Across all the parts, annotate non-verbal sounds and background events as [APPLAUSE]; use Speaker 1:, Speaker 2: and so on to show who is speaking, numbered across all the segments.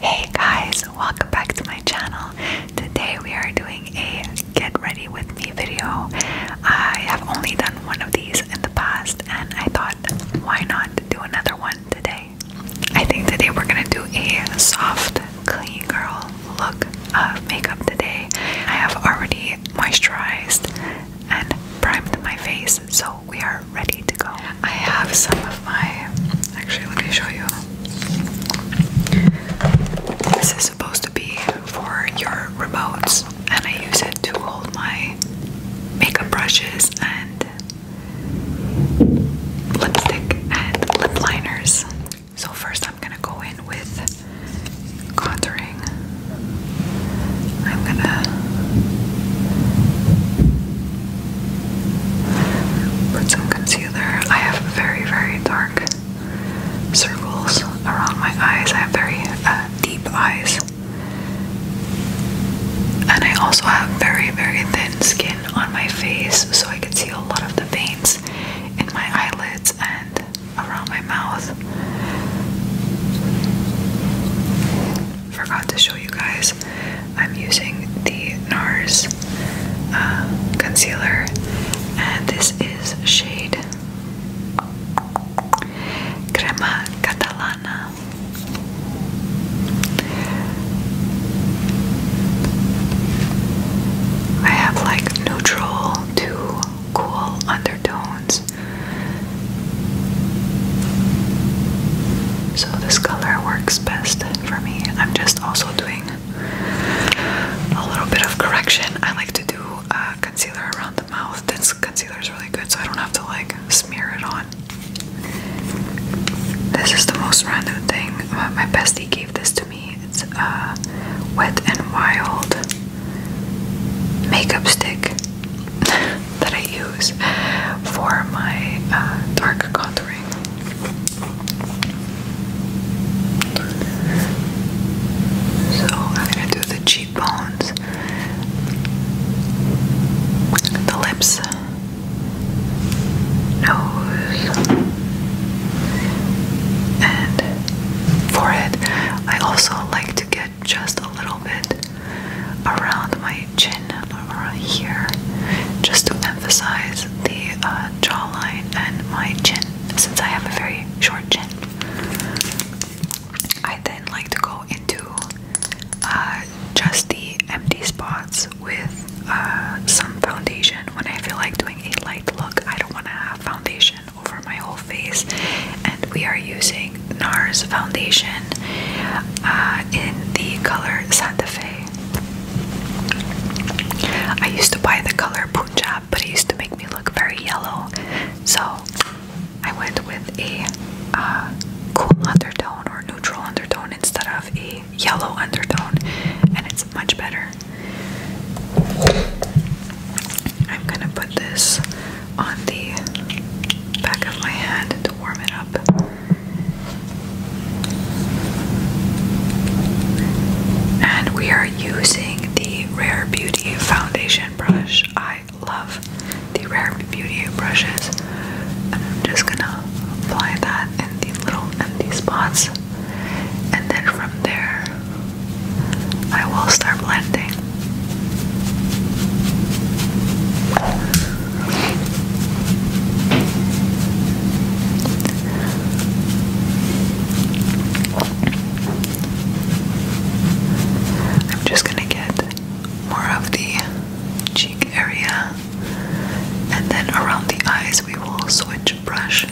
Speaker 1: Hey guys, welcome back to my channel. Today we are doing a get ready with me video. I have only done one of these in the past and I thought why not do another one today. I think today we're gonna do a soft clean girl look of makeup today. I have already moisturized and primed my face so we are ready to go. I have some of my. Actually, let me show you. This is supposed to be for your remotes, and I use it to hold my makeup brushes and lipstick and lip liners. So, first, I'm gonna go in with contouring. I'm gonna Put some concealer. I have very, very dark circles around my eyes. I have very uh, deep eyes. And I also have very, very thin skin on my face, so I can see a lot of the veins in my eyelids and around my mouth forgot to show you guys. I'm using the NARS uh, concealer, and this is shade Crema Catalana. I have like neutral to cool undertones so this color works best for me. I'm just also doing a little bit of correction. I like to do uh, concealer around the mouth. This concealer is really good so I don't have to like smear it on. This is the most random thing. Uh, my bestie gave this to me. It's a uh, Wet and Wild makeup stick that I use for my uh, dark contouring. So I'm gonna do the cheekbones, the lips, nose, and forehead. I also like to get just a little bit around my chin or here just to emphasize the uh, jawline and my chin since I have a very short chin. I then like to go into uh, just the empty spots with uh, some foundation when I feel like doing a light look. I don't want to have foundation over my whole face and we are using NARS foundation uh, in the color Santa Fe. I used to buy the color Punjab, but it used to make me look very yellow, so I went with a uh, cool undertone or neutral undertone instead of a yellow undertone, and it's much better. I'm gonna put this on the back of my hand to warm it up. And we are using the Rare Beauty foundation brush. I love the Rare Beauty brushes. And I'm just gonna apply that in the little empty spots. And then from there, I will start blending. I'm just going to get more of the cheek area and then around the eyes we will switch brush.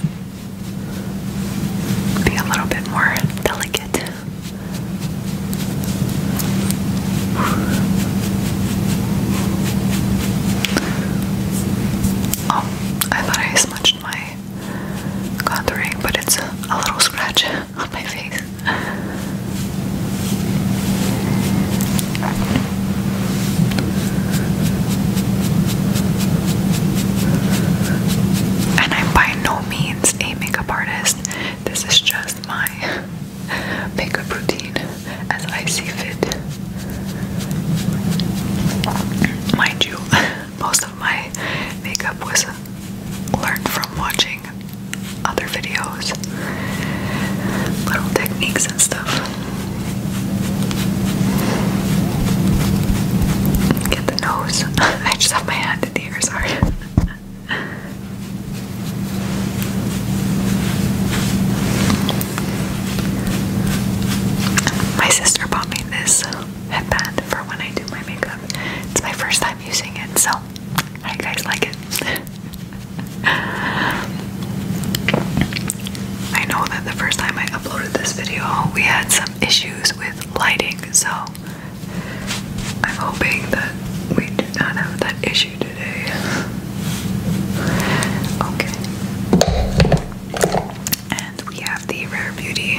Speaker 1: Be a little bit more delicate. Oh, I thought I smudged my contouring, but it's a, little scratch [LAUGHS] on my face. And I'm by no means a makeup artist, this is just my [LAUGHS] makeup routine as I see fit. Mind you, [LAUGHS] most of my makeup was learned from watching other videos, little techniques and stuff. Get the nose. [LAUGHS] I just have my hand in the sorry. My sister bought me this headband for when I do my makeup. It's my first time using it, so I guys like it. [LAUGHS] I know that the first time I uploaded this video, we had some issues with lighting, so I'm hoping that we do not have that issue today. Okay. And we have the Rare Beauty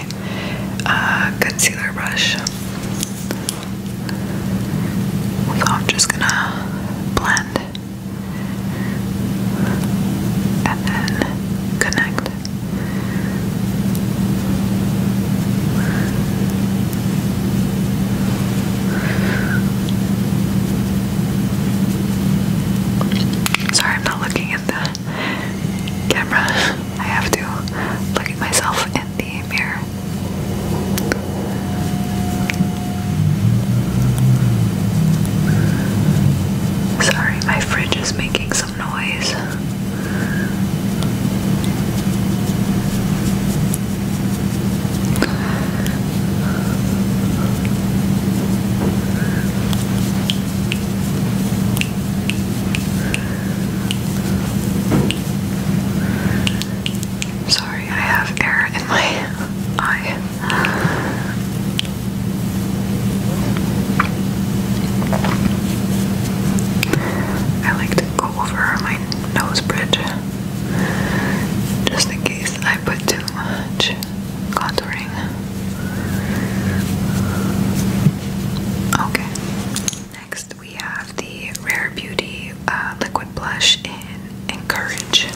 Speaker 1: uh, concealer brush. So I'm just gonna blend and then connect. Sorry, I'm not looking at the camera. I have to look at myself in the mirror. Sorry, my fridge is making some noise. Sorry, I have air in my eye. I like to over my nose bridge just in case I put too much contouring. Okay, next we have the Rare Beauty uh, Liquid Blush in Encourage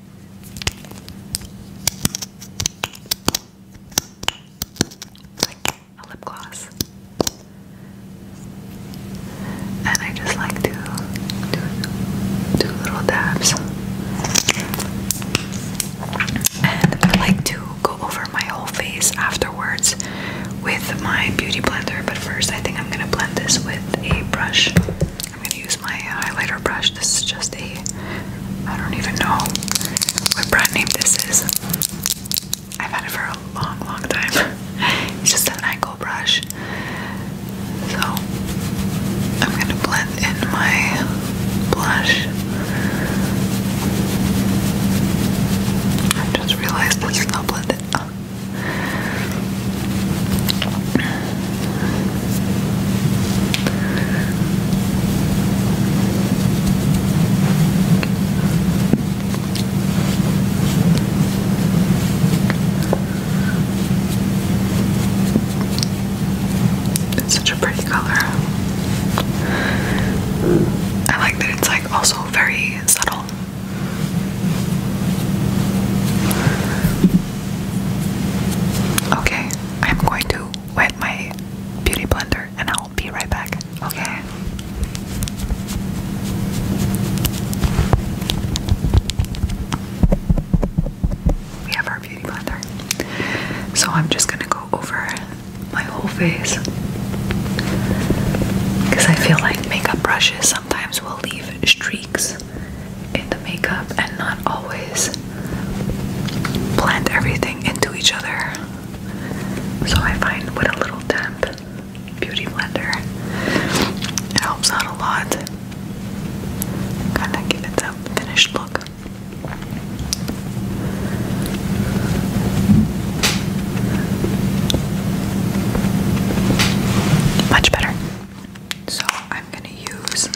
Speaker 1: a lip gloss. And I just like to do little dabs. And I like to go over my whole face afterwards with my beauty blender, but first I think I'm gonna blend this with a brush. I'm going to use my highlighter brush. This is just a, I don't even know what brand name this is. I've had it for a long, long time. [LAUGHS] it's just an angle brush. So I'm going to blend in my blush. I just realized this is not blended it's such a pretty color. I like that it's like also very subtle. Okay, I'm going to wet my beauty blender and I'll be right back. Okay. We have our beauty blender. So I'm just gonna go over my whole face because I feel like makeup brushes sometimes will leave streaks in the makeup and not always blend everything into each other. So I find with a little damp beauty blender, it helps out a lot. Kind of give it that finished look. Much better. So I'm gonna use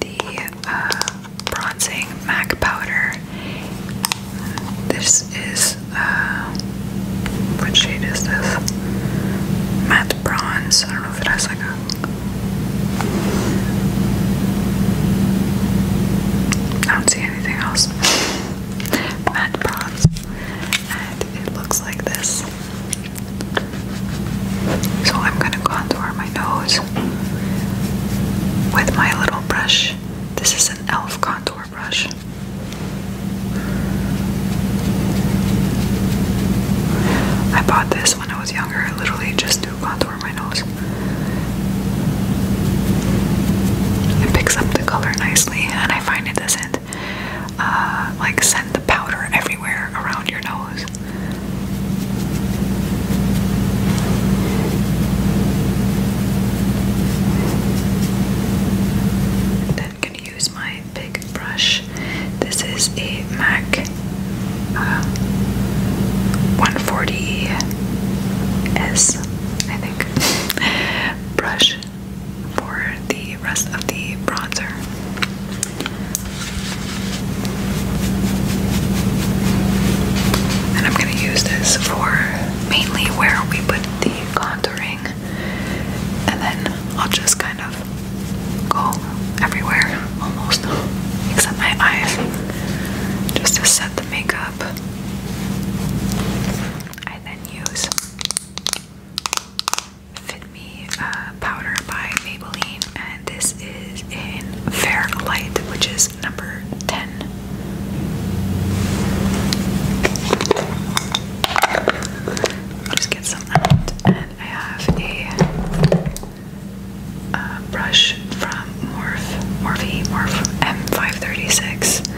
Speaker 1: the uh, bronzing MAC powder. This is uh, what shade is this? Matte bronze. I don't know if it has like a. I don't see anything else. Matte bronze, and it looks like this. So I'm going to contour my nose with my little brush. This is an e.l.f. contour brush. I bought this when I was younger, I literally just to contour my nose. It picks up the color nicely, and I find it doesn't uh, like send the powder everywhere around your nose. Then gonna use my big brush. This is a MAC uh, 140S, I think, [LAUGHS] brush for the rest of the bronzer. And I'm going to use this for mainly where we put the contouring. And then I'll just kind of go everywhere almost, except my eyes, just to set the makeup. I then use Fit Me uh, powder by Maybelline, and this is in Fair Light, which is number 10. Just get some out, and I have a uh, brush from Morphe, Morphe M536,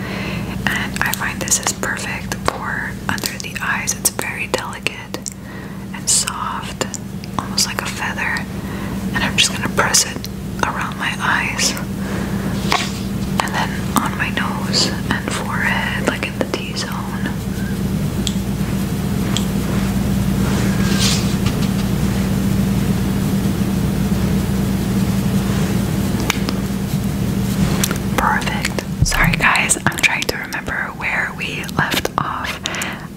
Speaker 1: and I find this is perfect for under the eyes. It's very delicate and soft, almost like a feather. And I'm just gonna press it around my eyes and then on my nose and forehead, like in the T zone. Perfect. Sorry, guys, I'm trying to remember where we left off.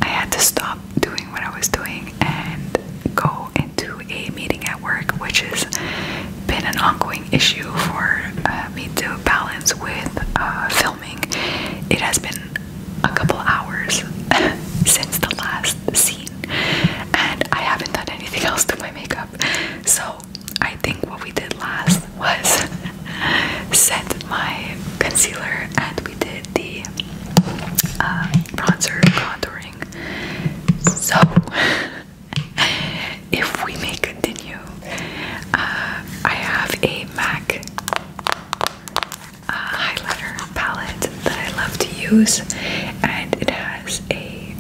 Speaker 1: I had to stop doing what I was doing and go into a meeting at work, which has been an ongoing issue for uh, me to balance with uh, filming. It has been a couple hours [LAUGHS] since the last scene, and I haven't done anything [LAUGHS] else to my makeup. So I think what we did last was [LAUGHS] set my concealer and we did the uh, bronzer contouring. So, [LAUGHS] if we may continue, uh, I have a MAC uh, highlighter palette that I love to use, and it has a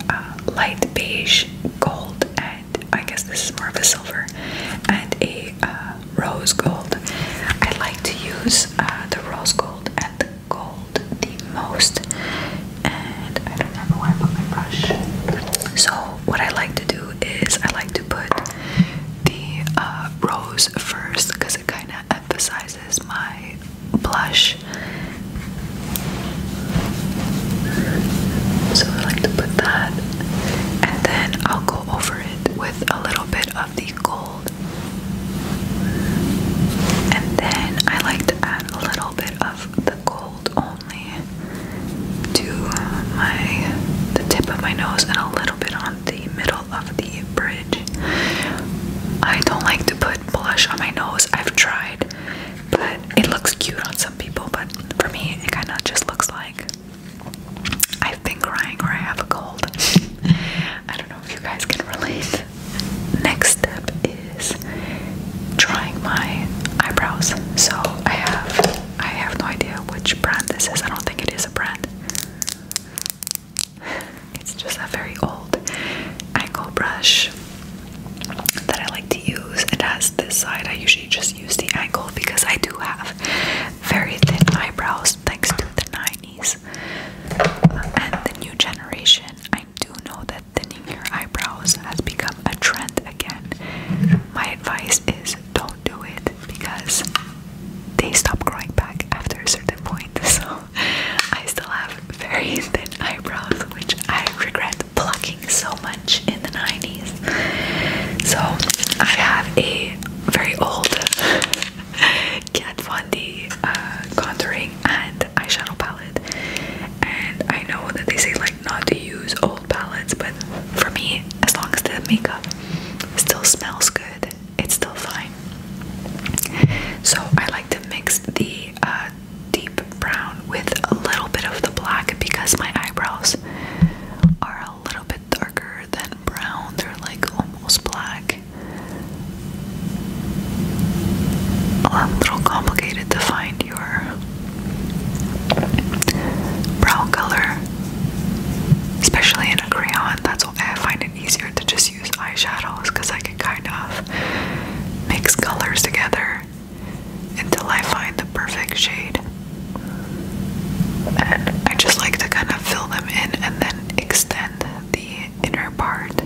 Speaker 1: light beige, gold, edge. I guess this is more of a silver and a uh, rose gold. I like to use uh, the rose gold and the gold the most, and I don't remember where I put my brush. So what I like to do is I like to put the uh, rose first because it kind of emphasizes my blush. So I like to put that and then I'll go over it with a little bit of the gold. And then I like to add a little bit of the gold only to my the tip of my nose and a little bit on the middle of the bridge. I don't like to put blush on my nose. I've tried, but it looks cute on some people, but for me it kind of just looks like like I've been crying or I have a cold. I don't know if you guys can relate. Next step is drawing my eyebrows. So I have I have no idea which brand this is. I don't think it is a brand. [LAUGHS] It's just a very old angle brush that I like to use. It has this side I usually just use the angle because I do have very thin eyebrows thanks to the 90s and the new generation. I do know that thinning your eyebrows has become a trend again. My advice is don't do it because they stop growing back after a certain point. [LAUGHS] So I still have very thin eyebrows, which I regret plucking so much in the 90s. So I have a very old [LAUGHS] Kat Von D uh, contouring and eyeshadow palette. And I know that they say like not to use old palettes, but for me, as long as the makeup still smells good, it's still fine. So I like to mix the uh, deep brown with a little bit of the black because my eyebrows are a little bit darker than brown, they're like almost black. A little complicated to find your brown color, especially in a crayon. That's why I find it easier to just use eyeshadows because I can kind of mix colors together until I find the perfect shade. And I just like to kind of fill them in and then extend the inner part.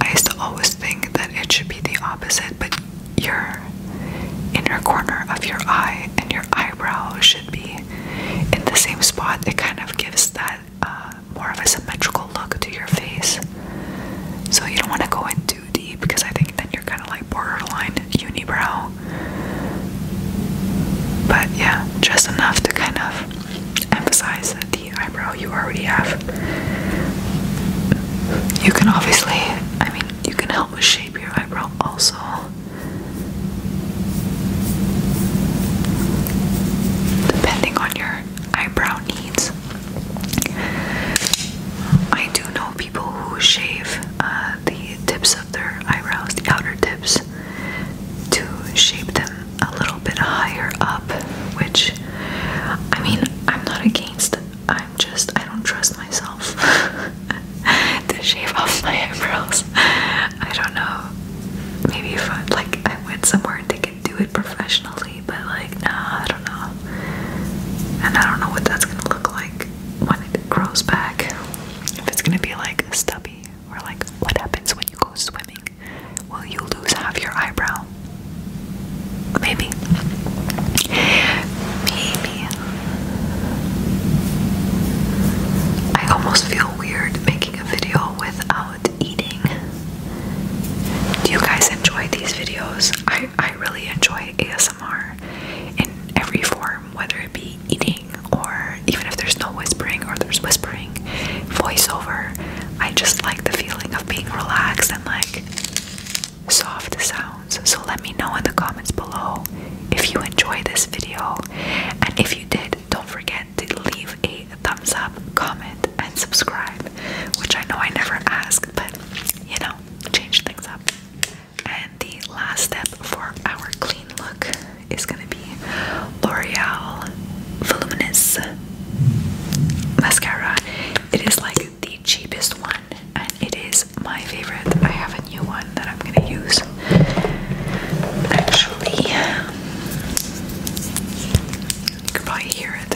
Speaker 1: I used to always think that it should be the opposite, but your inner corner of your eye and your eyebrow should be in the same spot. It kind of gives that uh, more of a symmetrical look to your face. So you don't want to go into deep because I think then you're kind of like borderline unibrow. But yeah, just enough to kind of emphasize that the eyebrow you already have. You can obviously, I mean, you can help shape your eyebrow also. Depending on your eyebrow needs. I do know people who shave uh, the tips of their eyebrows, the outer tips, to shape them a little bit higher up, which I mean, I'm not against, I'm just, I don't trust myself [LAUGHS] to shave off my eyebrows. I don't know, maybe if I like, I went somewhere and they could do it professionally, but like, nah, I don't know, and I don't know what that's gonna look like when it grows back. If it's gonna be like stubby, or like what happens when you go swimming? Will you lose half your eyebrow? Maybe. Maybe. I almost feel weird making a video without eating. Do you guys enjoy these videos? I, really enjoy ASMR in every form, whether it be eating or even if there's no whispering or there's whispering, voiceover. I just like the feeling of being relaxed and like soft sounds. So let me know in the comments below if you enjoy this video. And if you did, don't forget to leave a thumbs up, comment, and subscribe, which I know I never ask, but you know, change things up. And the last step for our clean look is gonna be L'Oreal Voluminous Mascara. It is like the cheapest one and it is my favorite. I have a new one that I'm gonna use actually. You can probably hear it.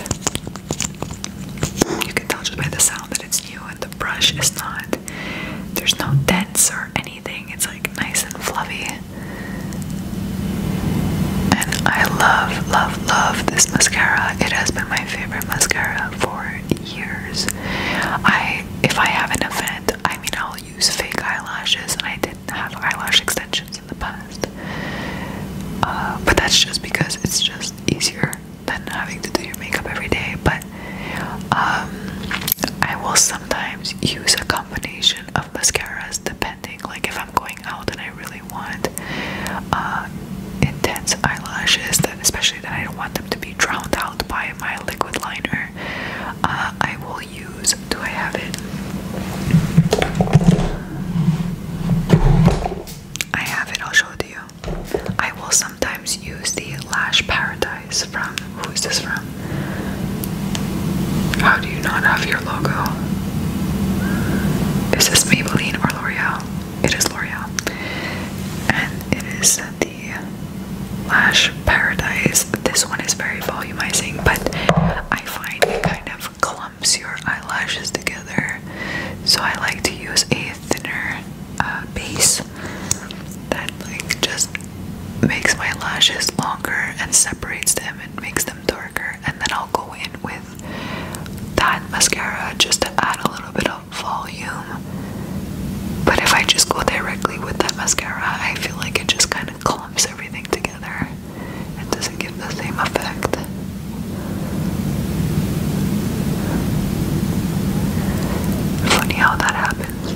Speaker 1: You can tell just by the sound that it's you and the brush is not there's no dents or anything. It's like nice and fluffy. And I love, love, love this mascara. It has been my favorite mascara for years. I if I have an event, I mean I'll use fake eyelashes and I didn't have eyelash extensions in the past. Uh, but that's just because it's just easier than having to do your makeup every day, but um, I will sometimes use a combination of mascaras depending. Like, if I'm going out and I really want uh, intense eyelashes, especially that I don't want them to be drowned out by my liquid liner, uh, I will use. Do I have it? I have it. I'll show it to you. I will sometimes use the Lash Paradise from who is this from? How do you not have your logo? Is this Maybelline or L'Oreal? It is L'Oreal. And it is the Lash Paradise. This one is very volumizing, but I find it kind of clumps your eyelashes together. So I like to use a thinner uh, base that like just makes my lashes longer and separates them and makes them darker. And then I'll go in with that mascara just to add a little bit of volume. But if I just go directly with that mascara, I feel like it just kind of clumps everything together. It doesn't give the same effect. Funny how that happens.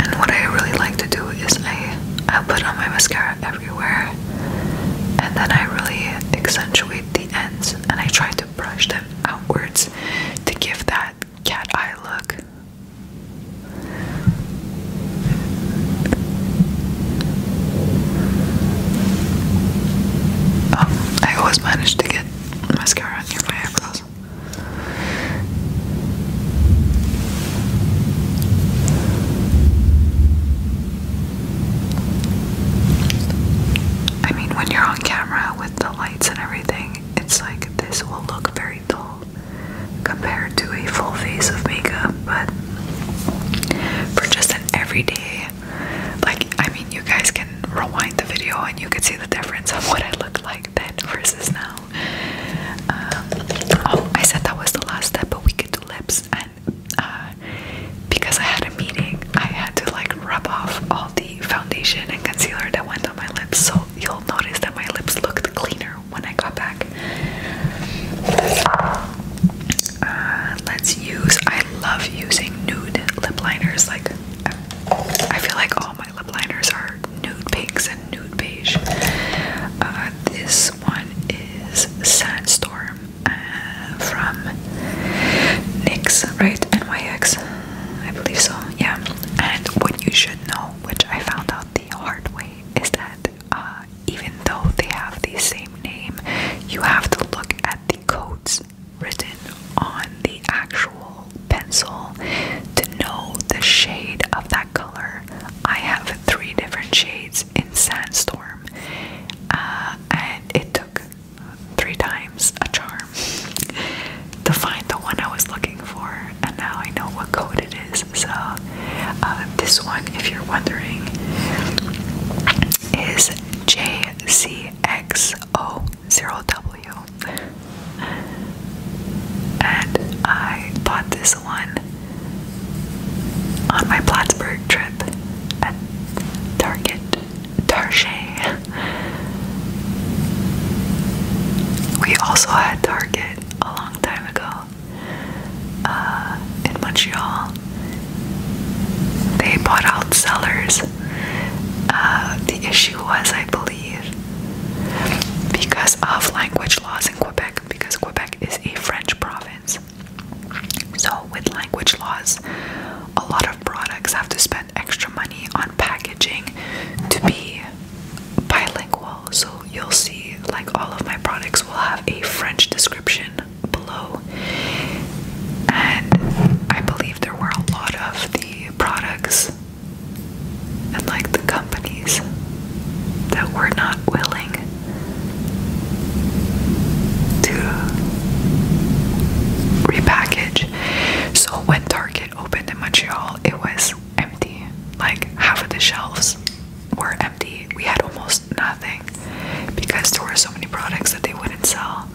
Speaker 1: And what I really like to do is I I put on my mascara everywhere, and then I really accentuate the ends, and I try to brush them outwards to give that cat eye look. Oh, I always manage to get mascara near my eyebrows. I mean, when you're on camera with the lights and everything, it's like this will look very dull compared to a full face of makeup, but for just every day. Like, I mean, you guys can rewind the video and you can see the difference of what it looked like then versus now. Um, oh, I said that was the last step, but we could do lips. And uh, because I had a meeting, I had to like rub off all the foundation and concealer that went on my lips. So you'll notice that my lips looked cleaner when I got back. Uh, let's use I love using nude lip liners like I feel like all my lip liners are nude pinks and nude beige uh, this one is Sandstorm uh, from NYX right? NYX I believe so yeah and what you should know which I found out the hard way is that uh, even though they have the same name, you have to look at the codes written on the actual pencil to know the shade of that color. I have three different shades in Sandstorm, uh, and it took three times a charm [LAUGHS] to find the one I was looking for, and now I know what code it is. So uh, this one, if you're wondering, is JCXO0W. And I bought this one on my Plattsburgh trip at Target Target. We also had Target a long time ago uh, in Montreal. They bought out sellers. Uh, the issue was, I believe, because of language laws in Quebec, because Quebec is a French province. So, with language laws, a lot of products have to spend extra money on packaging to be bilingual. So, you'll see, like, all of my products will have a French description below. And I believe there were a lot of the products and like the companies that were not willing to repackage. So when Target opened in Montreal, it was empty. Like half of the shelves were empty. We had almost nothing because there were so many products that they wouldn't sell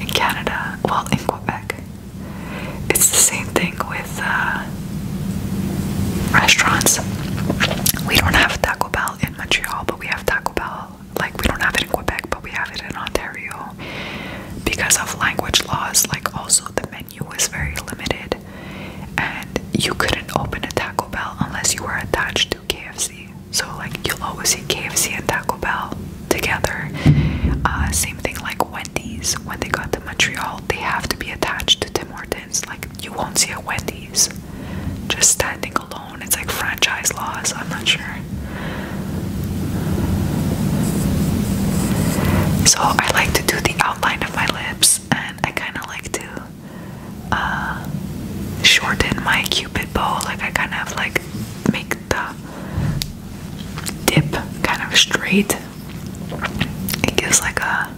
Speaker 1: in Canada, well, in Quebec. It's the same thing with uh, restaurants. We don't have Taco Bell in Montreal, but we have Taco Bell. Like, we don't have it in Quebec, but we have it in Ontario because of language laws. Like, also, the menu was very limited, and you couldn't open a Taco Bell unless you were attached KFC. So like you'll always see KFC and Taco Bell together. Uh, same thing like Wendy's. When they got to Montreal, they have to be attached to Tim Hortons. Like you won't see a Wendy's just standing alone. It's like franchise laws. I'm not sure. So I like to do the outline of my lips, and I kind of like to uh, shorten my cupid bow. Like I kind of like make the dip kind of straight. It gives like a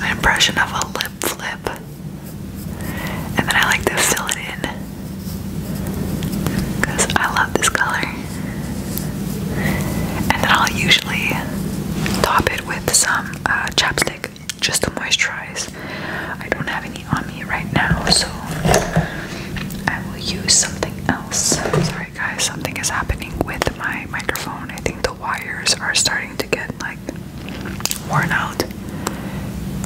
Speaker 1: an impression of a lip flip. And then I like to fill it in because I love this color. And then I'll usually top it with some uh, chapstick just to moisturize. I don't have any on me right now, so I will use something else. Sorry guys, something is happening with my microphone. I think the wires are starting to get like worn out.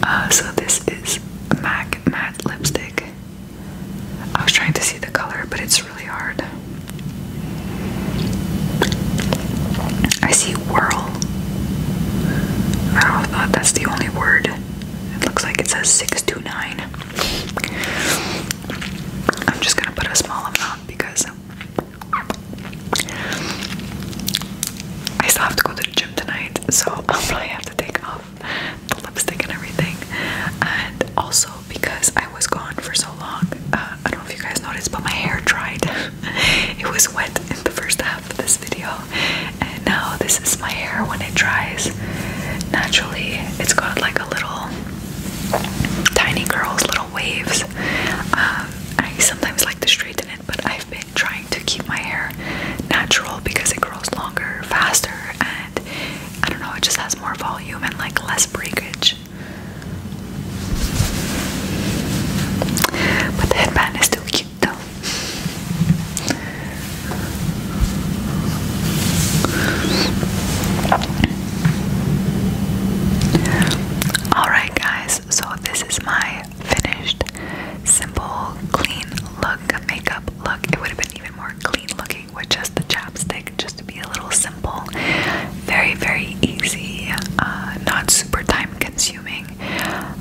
Speaker 1: Uh, so this is MAC matte lipstick. I was trying to see the color, but it's really hard. I see whirl. I don't know if that's the only word. It looks like it says 629. I'm just gonna put a small amount because I still have to go to the gym tonight, so [LAUGHS] I'll probably have to take off the lipstick and everything. And also because I was gone for so long, uh, I don't know if you guys noticed, but my hair dried. [LAUGHS] it was wet in the first half of this video, and now this is my hair when it dries. Naturally, it's got like a little tiny girl's little waves. Um, I sometimes like to straighten it, but I've been trying to keep my hair natural because it grows longer, faster, and I don't know, it just has more volume and like less breakage. But the headband is still cute though. Alright, guys, so this is my finished, simple, clean look, makeup look. It would have been even more clean looking with just the chapstick, just to be a little simple very, very easy, uh, not super time consuming.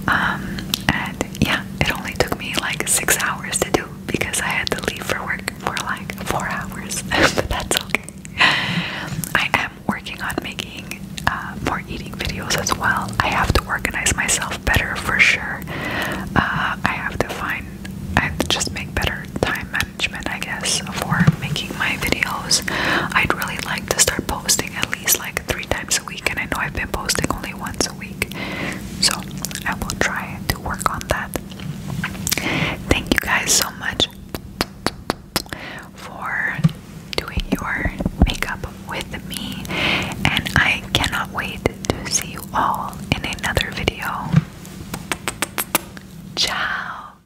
Speaker 1: Um, and yeah, it only took me like six hours to do because I had to leave for work for like four hours, [LAUGHS] but that's okay. I am working on making uh, more eating videos as well. I have to organize myself better for sure. Uh, I have to find, I just make better time management I guess, for making my videos. I'd really like to start posting at least like three times a week, and I know I've been posting only once a week, so I will try to work on that. Thank you guys so much for doing your makeup with me, and I cannot wait to see you all in another video. Ciao!